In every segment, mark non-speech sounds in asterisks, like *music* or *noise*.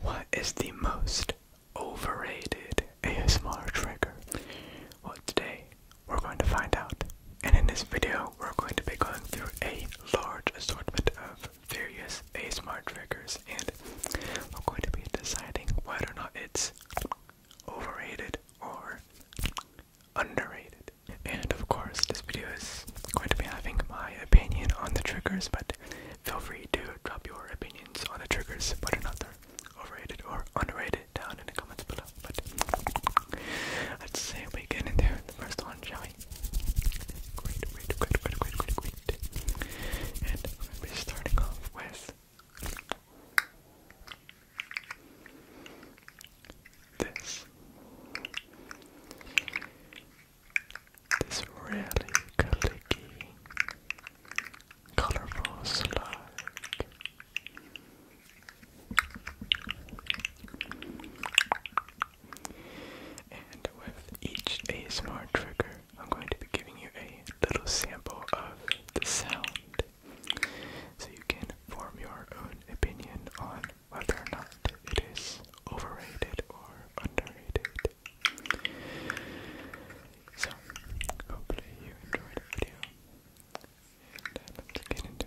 What is the most overrated ASMR trigger? Well, today we're going to find out. And in this video, we're going to be going through a large assortment of various ASMR triggers and we're going to be deciding whether or not it's overrated or underrated. And of course, this video is going to be having my opinion on the triggers, but Feel free to drop your opinions on the triggers, whether or not they're overrated or underrated, down in the comments below. But let's see we get into the first one, shall we? Great, great, great, great, great, great, great. And I'm starting off with this. This really clicky, colorful slug. And with each ASMR trigger, I'm going to be giving you a little sample of the sound so you can form your own opinion on whether or not it is overrated or underrated it. So, hopefully you enjoyed the video, and uh, let's get into it.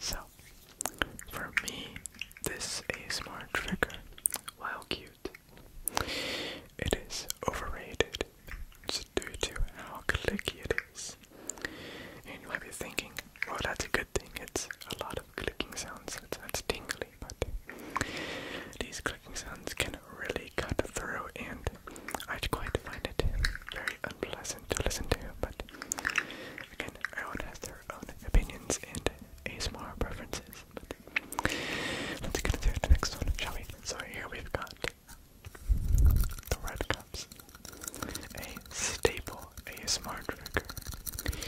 So, for me, this ASMR trigger, while cute, it is overrated just due to how clicky it is. And you might be thinking, well, that's a thing. It's a lot of clicking sounds. It's, it's tingly, but these clicking sounds can really cut through, and I quite find it very unpleasant to listen to. But again, everyone has their own opinions and ASMR preferences. let's get into the next one, shall we? So here we've got the red cups, staple a smart trigger.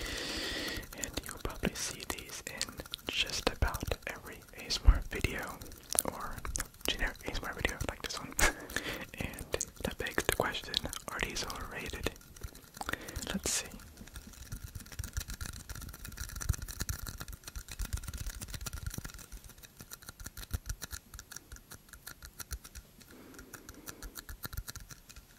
And you'll probably see these in just about every a smart video or generic a smart video like this one. *laughs* and that begs the question, are these overrated? Let's see.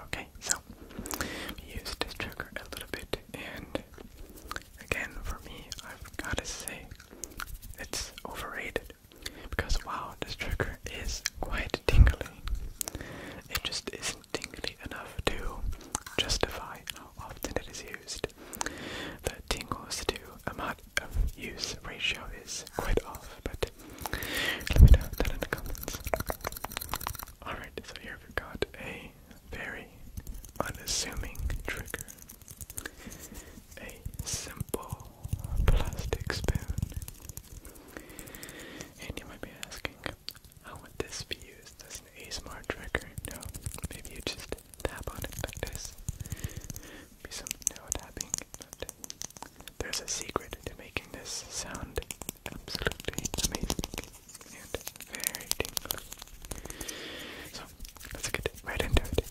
Okay, so use this trigger a little bit, and again, for me, I've got to say it's overrated because wow, this trigger is quite tingly. It just isn't tingly enough to justify how often it is used. The tingles to amount of use ratio is quite off, but let me know that in the comments. Alright, so here we've got a very unassuming trigger. A simple plastic spoon and you might be asking, how would this be used as an ASMR trigger? No, maybe you just tap on it like this. Be some no tapping, but there's a secret to making this sound absolutely amazing and very tingly. So let's get right into it.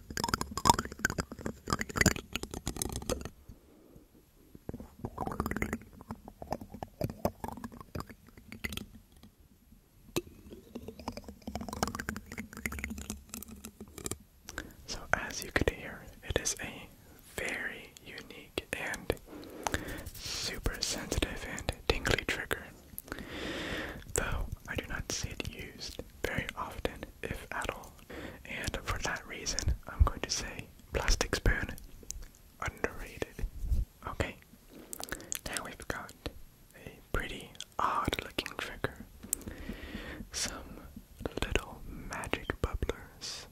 So, as you can hear, it is a very unique and super sensitive and tingly trigger. Though I do not see it used very often, if at all. And for that reason, I'm going to say plastic spoon underrated. Okay, now we've got a pretty odd looking trigger. Some little magic bubblers.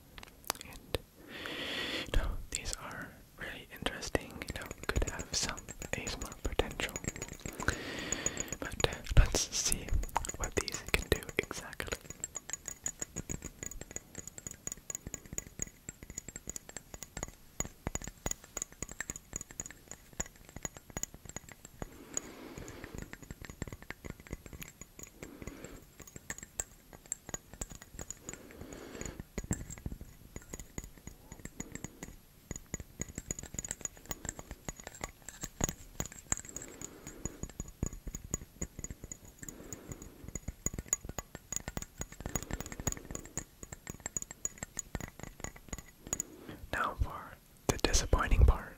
And you these are really interesting, you could have some ASMR potential. But uh, let's see what these can do exactly. Now for the disappointing part.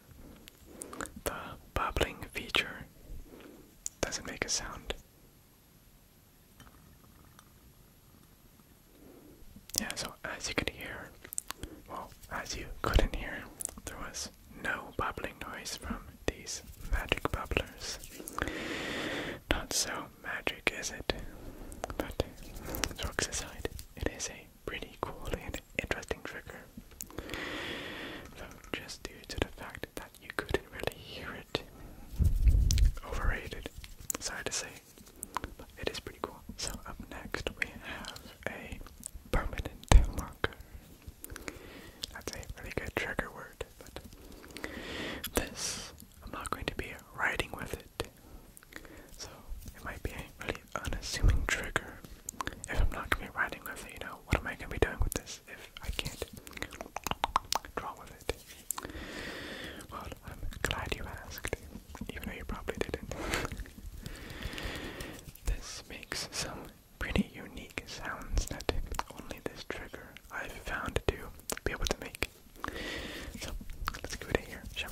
The bubbling feature doesn't make a sound. Yeah, so as you could hear, well, as you couldn't hear, there was no bubbling noise from these magic bubblers. Not so magic, is it? But, jokes aside, it is a pretty cool and interesting trigger. So, just due to the fact that you couldn't really hear it, overrated, sorry to say, but it is pretty cool. So, up next we have a permanent marker. That's a really good trigger word, but this I'm not going to be writing with it. So it might be a really unassuming trigger. If I'm not going to be writing with it, you know, what am I going to be doing with this if I can't draw with it? Well, I'm glad you asked, even though you probably didn't. This makes some pretty unique sounds that only this trigger I've found to be able to make. So let's give it a hear, shall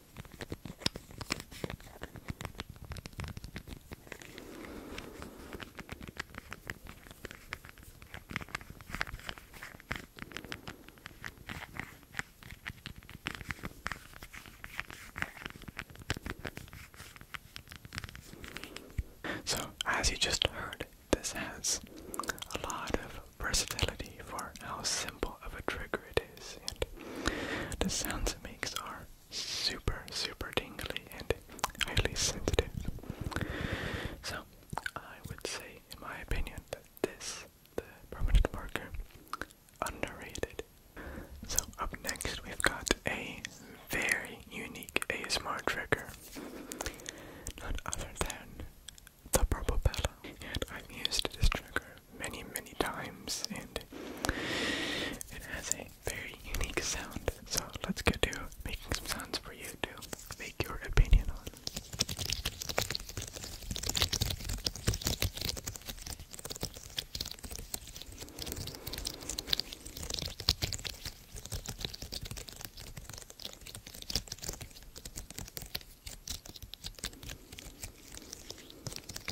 So, as you just heard, this has a lot of versatility for how simple of a trigger it and the sounds it makes are super, super dingly and highly sensitive. So, I would say, in my opinion, that this, the permanent marker, underrated. So, up next, we've got a very unique ASMR trigger. None other than the purple bella. And I've used this trigger many, many times, and it has a very unique sound. So let's go to making some sounds for you to make your opinion on.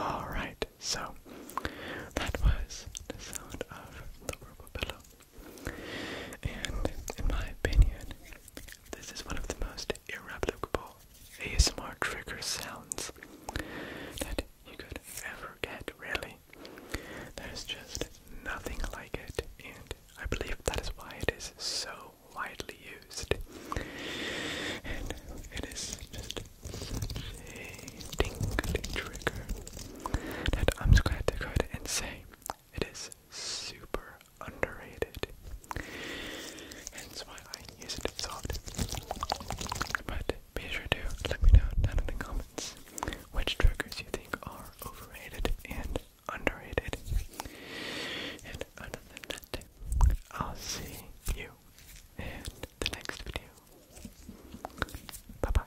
All right, so that was the sound of the purple pillow, and in my opinion, this is one of the most irreplicable ASMR trigger sounds that you could ever get, really. There's just nothing like it, and I believe that is why it is so widely used. And it is just such a trigger that I'm just glad to go and say it is super underrated. Hence why I use it so often. But be sure to let me know down in the comments which triggers you think are overrated and underrated. And other than that, I'll see you in the next video. Bye bye.